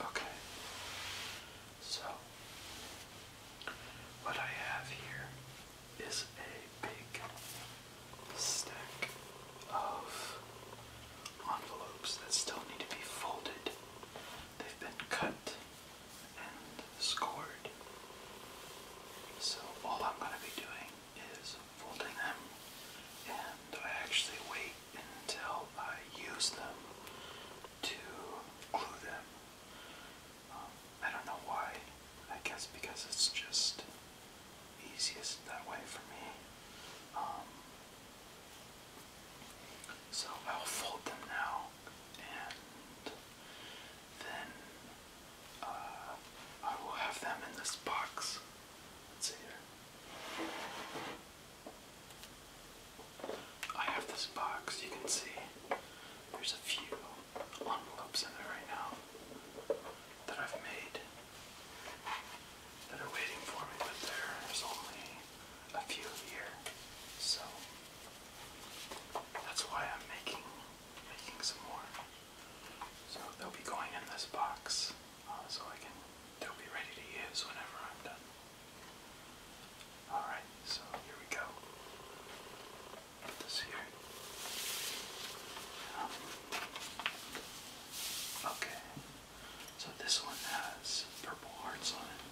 Okay, so what I have here is a big stack of envelopes that still need to be folded. They've been cut and scored. So all I'm going to be doing is folding them and I actually wait until I use them to glue them. Um, I don't know why. I guess because it's just easiest that way for me. Um, so I'll fold them now and then uh, I will have them in this box. Let's see I have this box, you can see there's a few envelopes in there right now that I've made that are waiting for me, but there's only a few here. So that's why I'm making making some more. So they'll be going in this box, uh, so I can they'll be ready to use whenever I'm done. All right, so here we go. Put this here. Um, okay, so this one has purple hearts on it.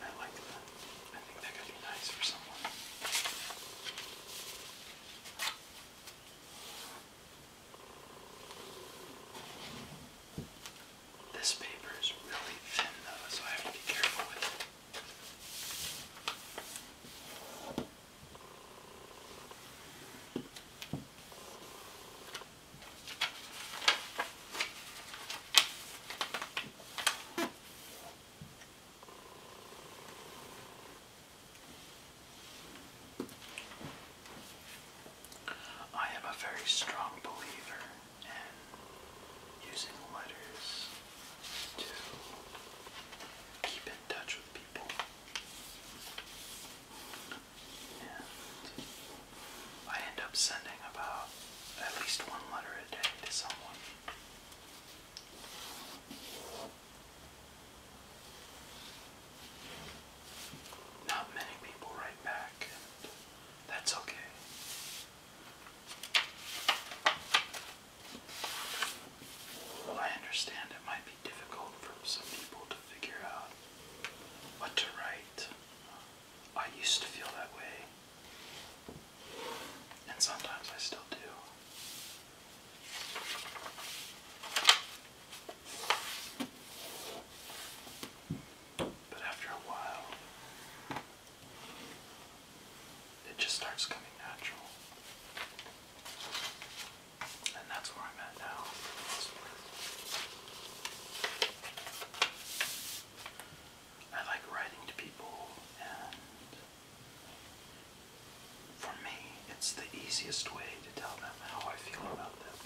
I like that. I think that could be nice for someone. This paper is really thin though, so I have to be careful with it. I am a very strong believer in using letters to keep in touch with people. I end up sending about at least one letter a day to someone. Not many people write back, and that's okay. I understand it might be difficult for some people to figure out what to write. I used to feel that way, and sometimes I still do. But after a while, it just starts coming natural. And that's where I'm at now. I like writing to people, and for me, it's the easiest way to tell them how I feel about them.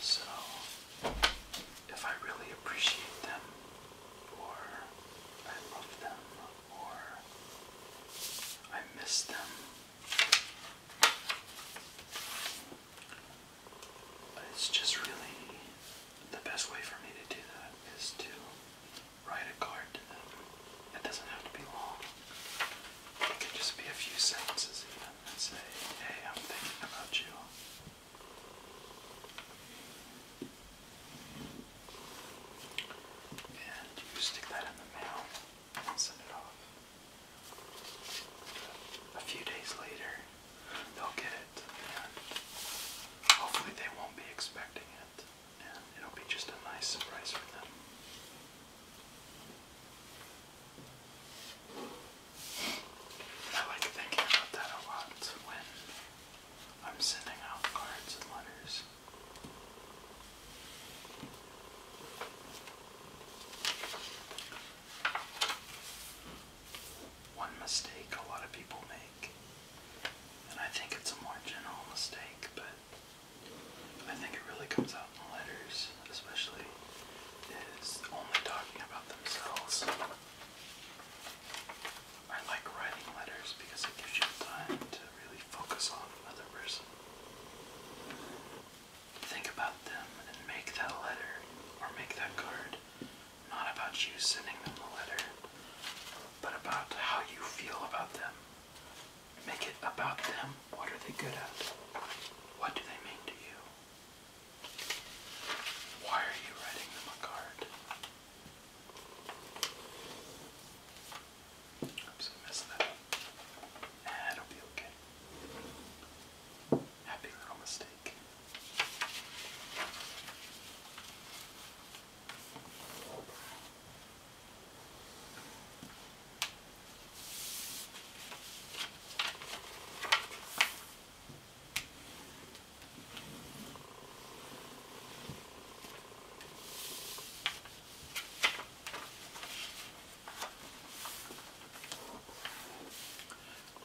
So, if I really appreciate them, or I love them, or I miss them, but it's just really the best way for me to do that is to write a card to them. It doesn't have to be long. It can just be a few sentences even and say, hey, I'm thinking about you. And you stick that in the mail and send it off a few days later, they'll get it, and hopefully they won't be expecting it, and it'll be just a nice surprise for them. I like thinking about that a lot when I'm sending out cards and letters. One mistake a lot of people make, and I think it's a more general mistake, but I think it really comes out in the letters, especially, is only talking about themselves. I like writing letters because it gives you time to really focus on another person think about them and make that letter or make that card not about you sending them the letter, but about how you feel about them. Make it about them. What are they good at? What do they mean to you? Why are you writing them a card? Oops, I missed that. Nah, it'll be okay. Happy little mistake.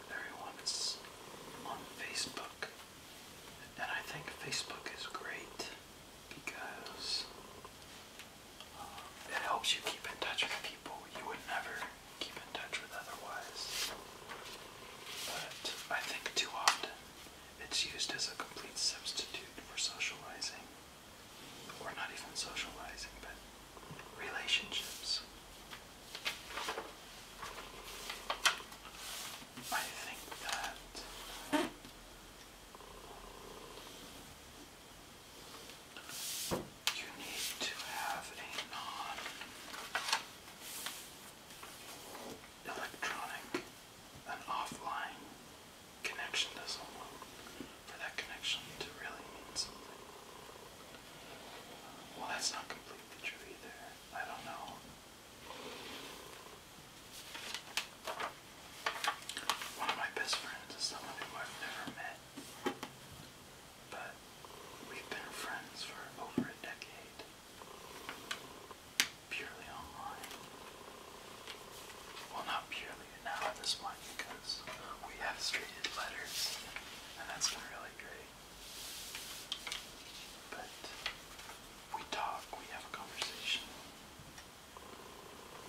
There once on Facebook, and I think Facebook is great because uh, it helps you keep in touch with people you would never keep in touch with otherwise. But I think too often it's used as a complete substitute for socializing or not even socializing, but relationships. I think that you need to have a non electronic, an offline connection doesn't work for that connection to really mean something. Well, that's not completely true either. I don't know. One of my best friends is someone who I've never met, but we've been friends for over a decade, purely online. Well, not purely now on this one because we have straighted letters and that's been really great. But we talk, we have a conversation.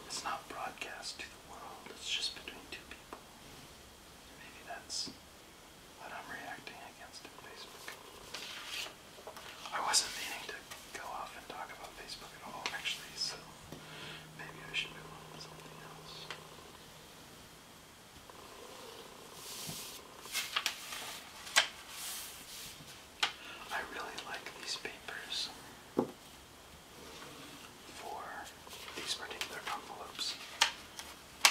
It's not broadcast to the world, it's just between two people. Maybe that's what I'm reacting against in Facebook. I wasn't meaning to go off and talk about Facebook at all, actually, so Maybe I should move on to something else. I really like these papers for these particular envelopes.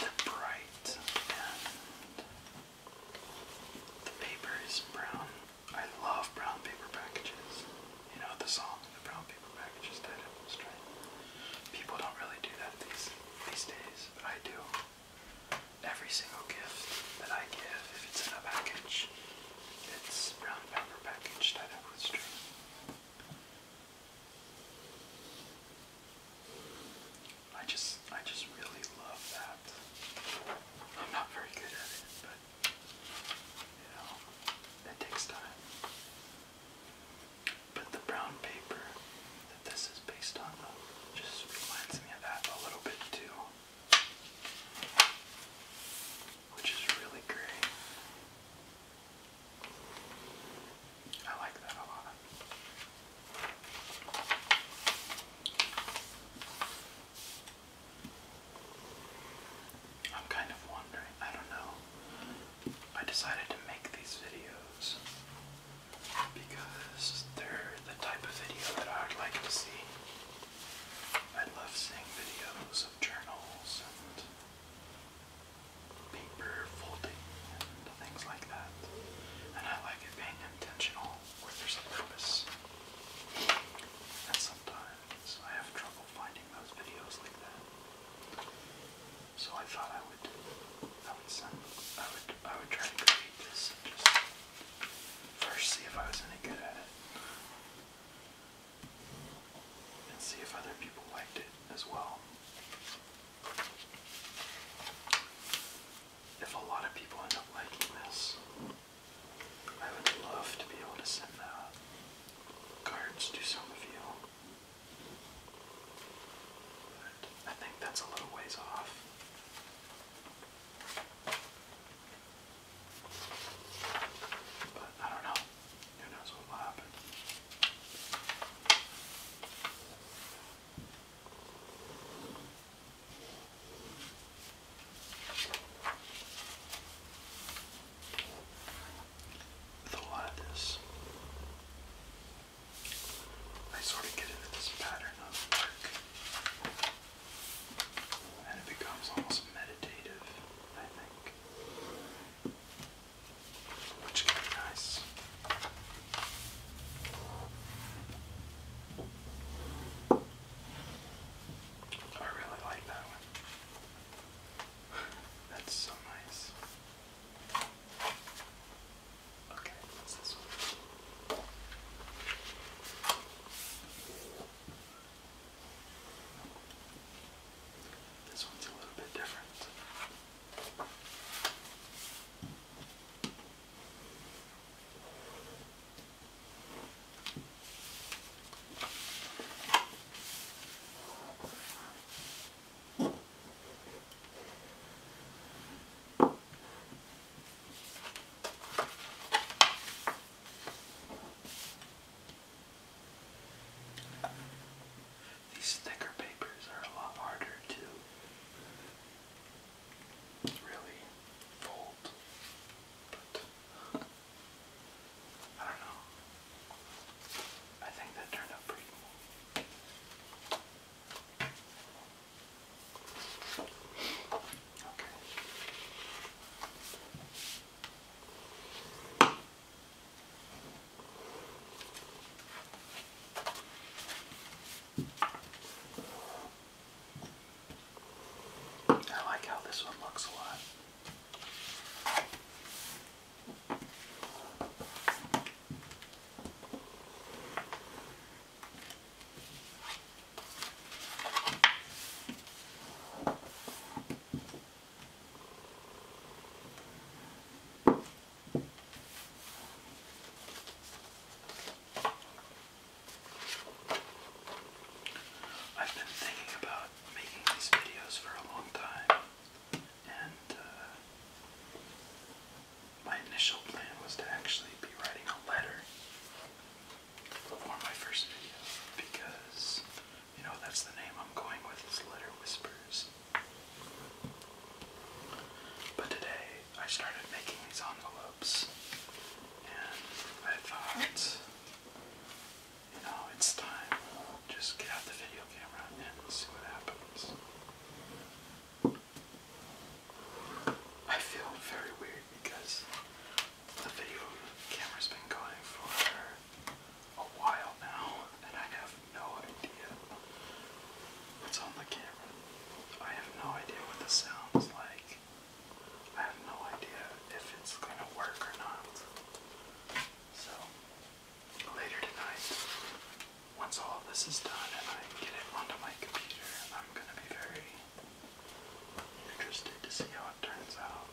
They're bright and the paper is brown I love brown paper packages. You know the song, the brown paper packages that it was trying. People don't really do that these these days, but I do. Every single gift that I give, if it's in a package, it's brown paper packaged that it was string. I just I just really love that. I'm not very good at it, but you it takes time. But the brown paper that this is based on just reminds me of that a little bit too. Which is really great. I like that a lot. I'm kind of wondering, I don't know. I decided to make these videos because they're the type of video that I would like to see. I love seeing videos of journals and paper folding and things like that. And I like it being intentional where there's a purpose. And sometimes so I have trouble finding those videos like that. So I thought I would, I would send, I would, I would try to create this and just first see if I was any good at it, and see if other people liked it as well. If a lot of people end up liking this, I would love to be able to send cards to some of you. I think that's a little ways off. But I don't know. Who knows what will happen? The lattice. I sort of get into this pattern of work. And it becomes almost meditative, I think. Which can be nice. I really like that one. That's so nice. This one's a little bit different. These thicker papers are a lot harder to really fold, but I don't know. I think that turned out pretty cool. Okay. I like how this one looks a lot. I've been thinking about making these videos for a long time, and uh, my initial plan was to actually be writing a letter for my first video because, you know, that's the name I'm going with is Letter Whispers. But today I started making these envelopes. I thought, you know, it's time. Just get out the video camera and see what happens. I feel very weird because the video camera's been going for a while now, and I have no idea what's on the camera. I have no idea what the sound's like. I have no idea if it's gonna work or not. So later tonight, once all this is done and I get it onto my computer, I'm gonna be very interested to see how it turns out.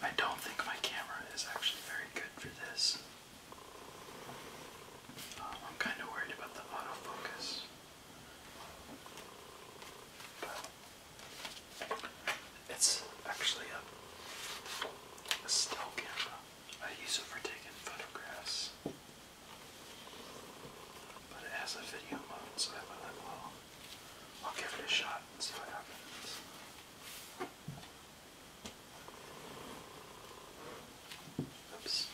I don't think my camera is actually very good for this. Um, I'm kind of worried about the autofocus. But it's actually a still camera. I use it for taking photographs. But it has a video mode, so I might as well. will give it a shot and see what happens. Oops.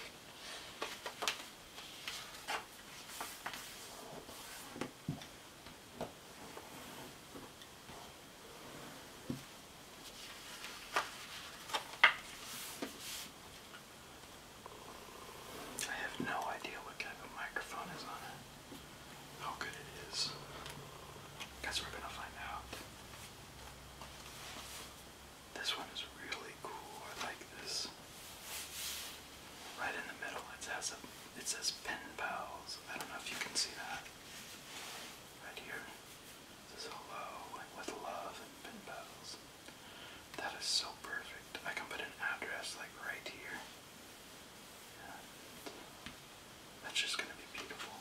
I have no idea what type of microphone is on it. How good it is. Guess we're gonna find out. This one is really cool. I like this. Right in the middle, it has It says pen pals. I don't know if you can see that. Right here. This is hello with love and pin That is so perfect. I can put an address like right here. Yeah. That's just gonna be beautiful.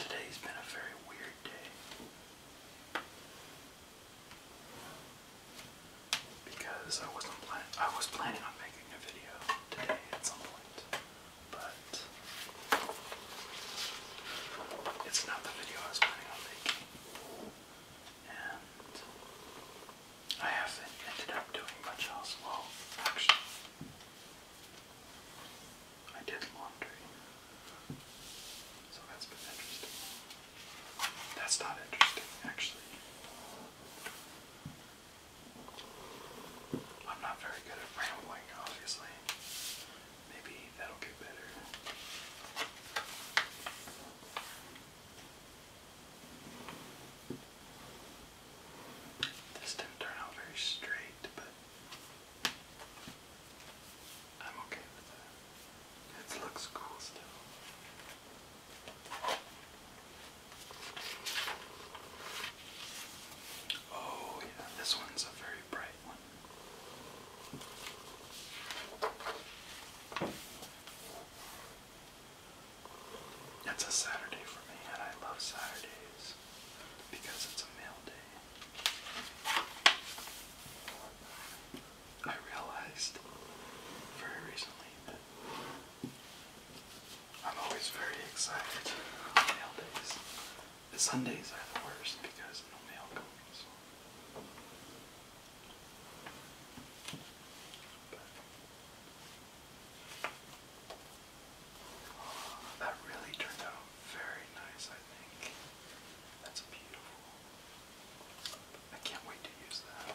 Today's been a very weird day because I wasn't plan I was planning on making a video today at some point but it's not the video I was planning on making. And I haven't ended up doing much else. Well, actually, I did laundry. So that's been interesting. That's not interesting, actually. I'm not very good at rambling, obviously. Maybe that'll get better. This didn't turn out very straight, but I'm okay with that. It looks cool still. Oh, yeah, this one's a very bright one. It's a Saturday for me, and I love Saturdays because it's a mail day. I realized very recently that I'm always very excited on mail days. Sundays are the worst because no mail comes. Uh, that really turned out very nice, I think. That's beautiful. I can't wait to use that.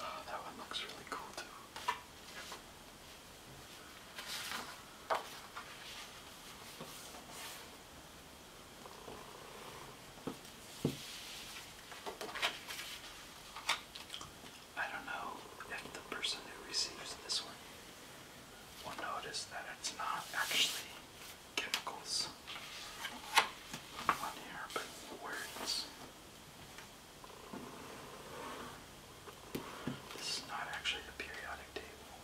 Oh, that one looks really cool too. I don't know if the person who receives this one will notice that it's not actually chemicals this is not actually the periodic table.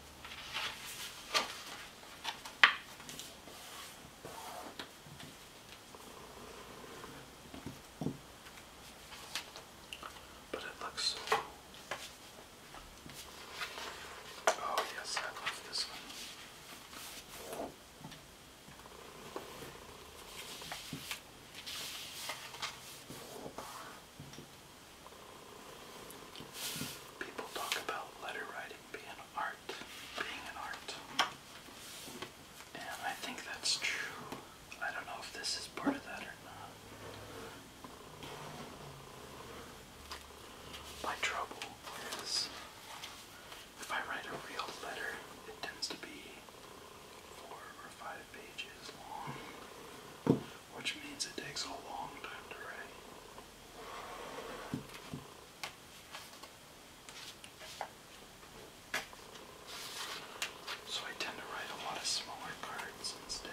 But it looks Oh yes, I love this one. People talk about letter writing being art, being an art. And I think that's true. I don't know if this is part of that or not. My trouble is if I write a real letter, it tends to be four or five pages long, which means it takes a long time to write. So I tend to write a lot of smaller cards instead.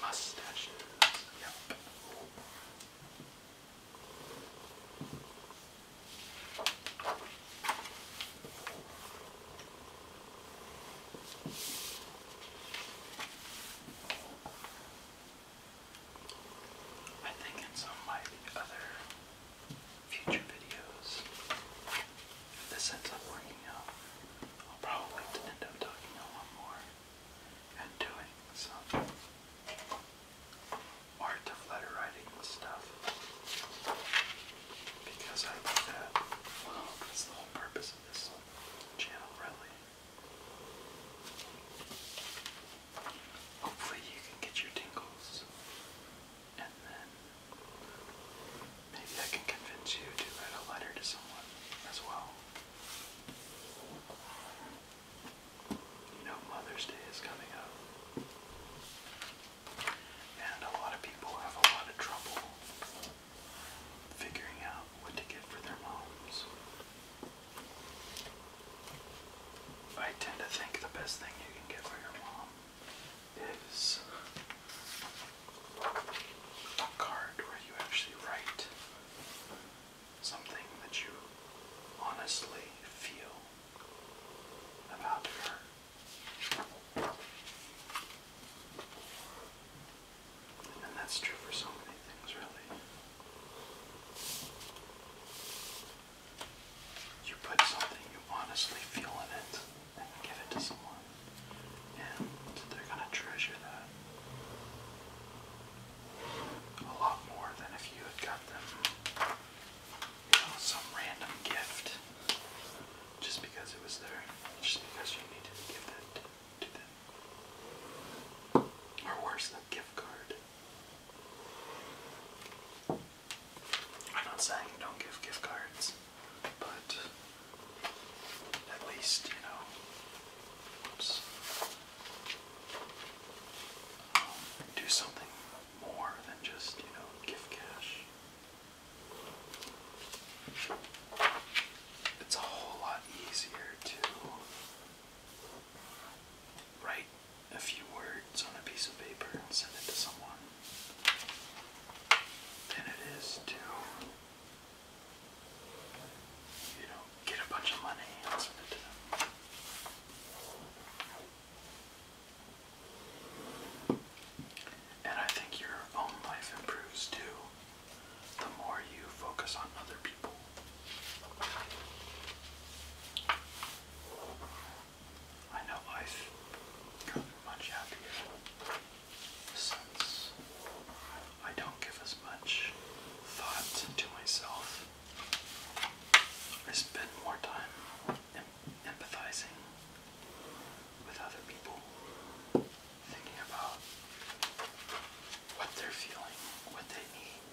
Mustache. Yep. I think in some of my other future videos, this ends up working out, I'll probably end up talking a lot more and doing some art of letter writing stuff because I love that. Well, that's the whole purpose of this channel, really. Hopefully, you can get your tingles and then Maybe I can convince you to write a letter to someone as well. You know, Mother's Day is coming up. And a lot of people have a lot of trouble figuring out what to get for their moms. I tend to think the best thing you can get for your mom is a card where you actually write something that you honestly feel about her. And that's true for so many things, really. You put something you honestly feel in it and give it to someone. And they're gonna treasure that a lot more than if you had got them some random gift just because it was there, just because you needed to give that to them. Or worse, the gift card. I'm not saying you don't give gift cards but at least, you know, oops, um, do something more than just, you know, give cash. It's a whole lot easier to write a few words on a piece of paper and send it to someone than it is to, you know, get a bunch of money and send it to them. And I think your own life improves too, the more you focus on other people. I know life got much happier since I don't give as much thought to myself. I spend more time empathizing with other people, thinking about what they're feeling, what they need.